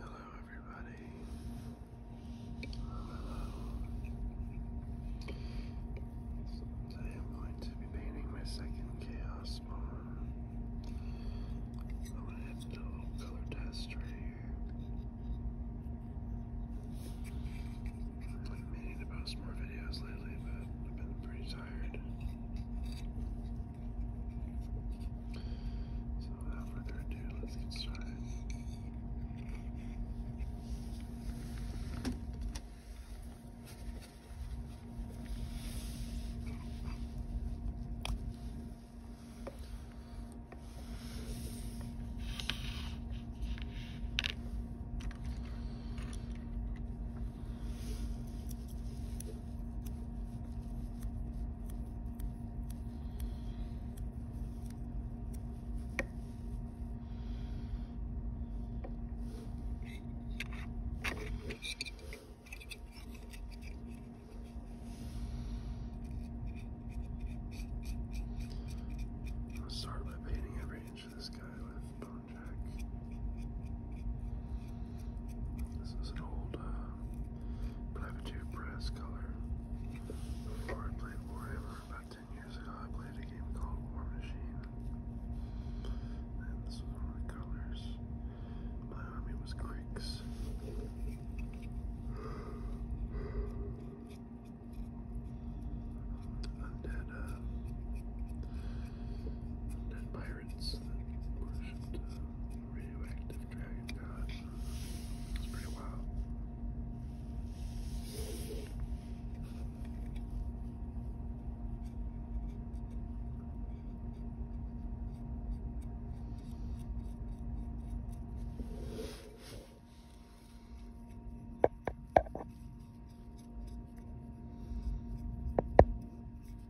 Hello, everybody. Today I'm going to be painting my second chaos bomb. I'm gonna do a little color test right here. I'm meaning to post more videos lately, but I've been pretty tired. So, without further ado, let's get started. I'll start by painting every inch of this guy with bone jack. This is an old uh, Privateer Press color. Before I played Warhammer about 10 years ago, I played a game called War Machine. And this was one colors. My army was Greeks. Undead, uh, undead pirates. It's that worshipped a radioactive dragon god. It's pretty wild.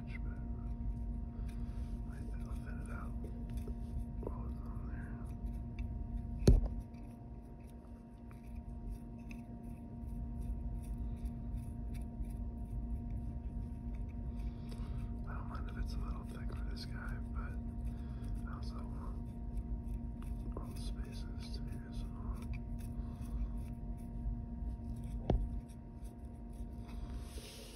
I think don't mind if it's a little thick for this guy, but I also all the spaces to be as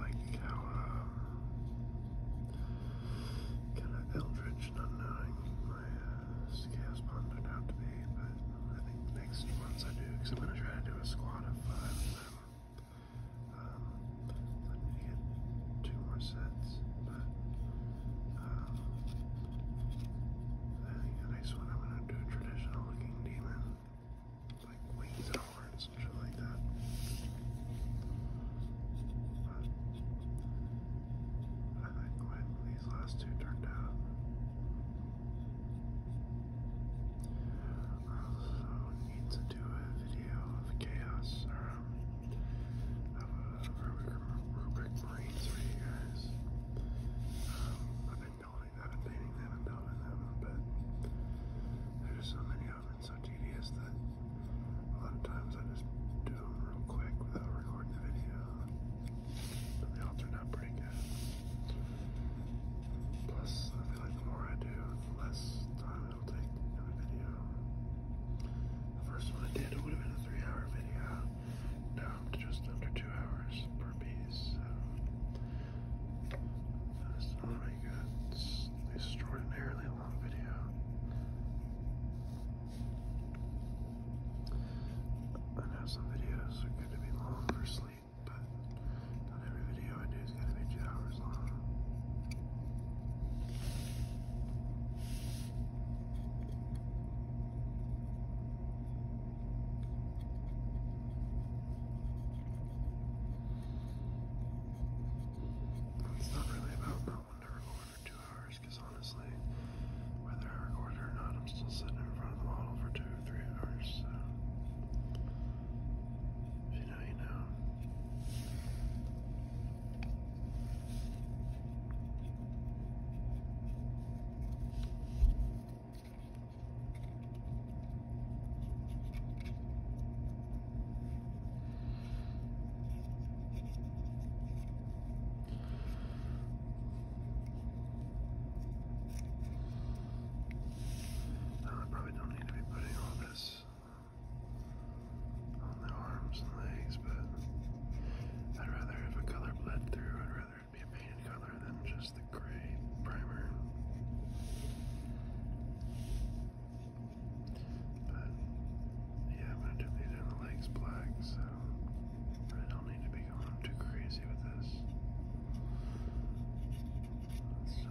Like how um, kind of eldritch, not knowing my scales uh, turned out to be, but I think the next ones I do, because I'm going to try to do a squad of five of them. I need to get two more sets, but um, I think the next one I'm gonna do a traditional looking demon. Like wings outwards and shit like that. I like the way these last two turned out. I also need to do a video of chaos or um, of a Rubric, for you guys. Um, been building them and painting them and building them, but there's so many of them and so tedious that a lot of times I just do them real quick without recording the video. But they all turn out pretty good. Plus, I feel like the more I do, the less time it'll take in a video. The first one I did would have been a three-hour video uh, just under two hours per piece. that's not very good. It's extraordinarily long video. I know some videos are going to be long for sleep, but not every video I do is going to be two hours long. It's not really about going to for two hours, because honestly, whether I record or not, I'm still sitting in front of the model for two three hours, you know, you know. I probably don't need to be putting all this on the arms and legs, but I'd rather have a color bled through. I'd rather be a painted color than just the gray primer. But yeah, I'm gonna do these in the legs black, so I don't need to be going too crazy with this. So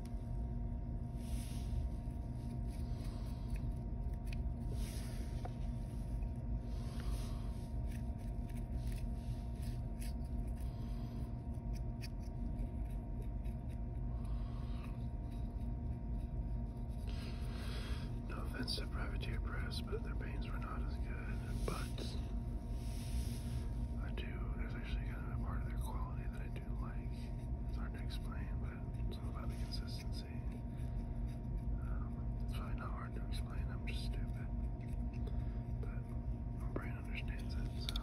No offense to Privateer Press, but their paints were not as good. But I do, there's actually kind of a part of their quality that I do like. It's hard to explain, but it's all about the consistency. Um, it's probably not hard to explain, I'm just stupid. But my brain understands it, so.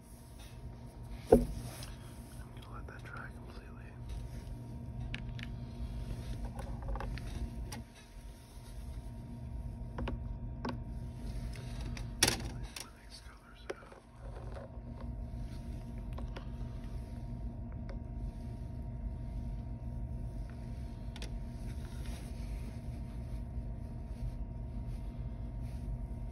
I'm gonna let that dry completely. The next colors out.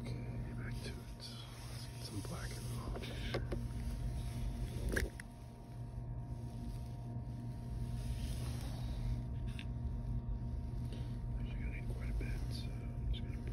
Okay, back to it. Some black and white. Actually, gonna need quite a bit, so I'm just gonna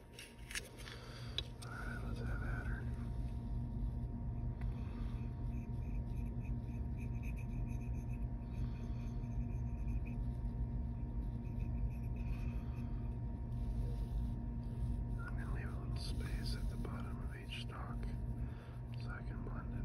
All right, let's have I'm going a little space at the bottom of each stalk so I can blend it.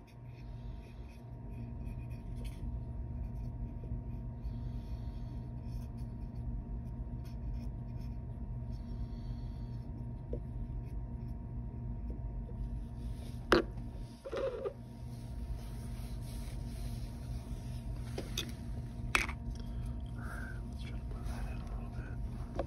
Let's try to put that in a little bit.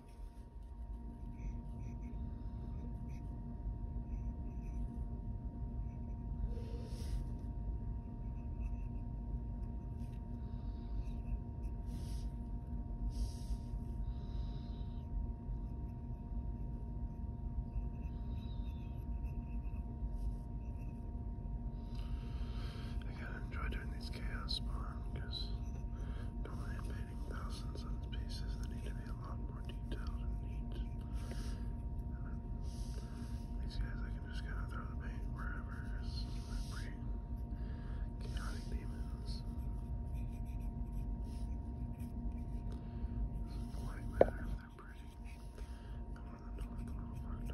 I gotta enjoy doing these chaos spawn because normally I pay eliminating thousands of pieces that need to be a lot more detailed and neat. these guys, I can just kind of throw the paint wherever. It's pretty chaotic demons. does matter they're pretty. I want them to look a little fucked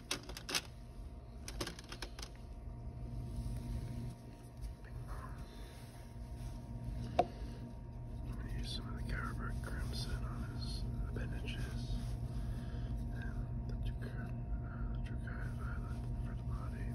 use some of the Carver Crimson on his appendages and the uh, Dracarys Violet for the body.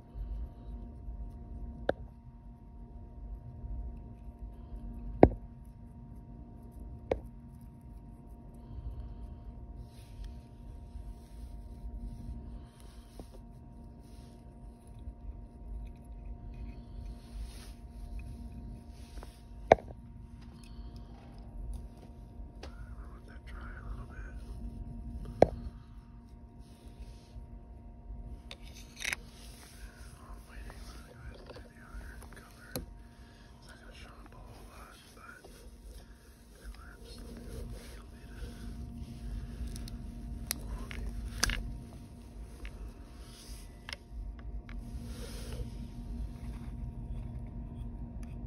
Let that dry a little bit. I'm waiting for the guys to do the other color. It's not going to show up a whole lot, but it lasts a little bit. You'll need it. Thank you.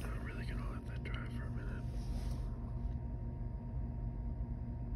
Not really gonna let that dry for a minute.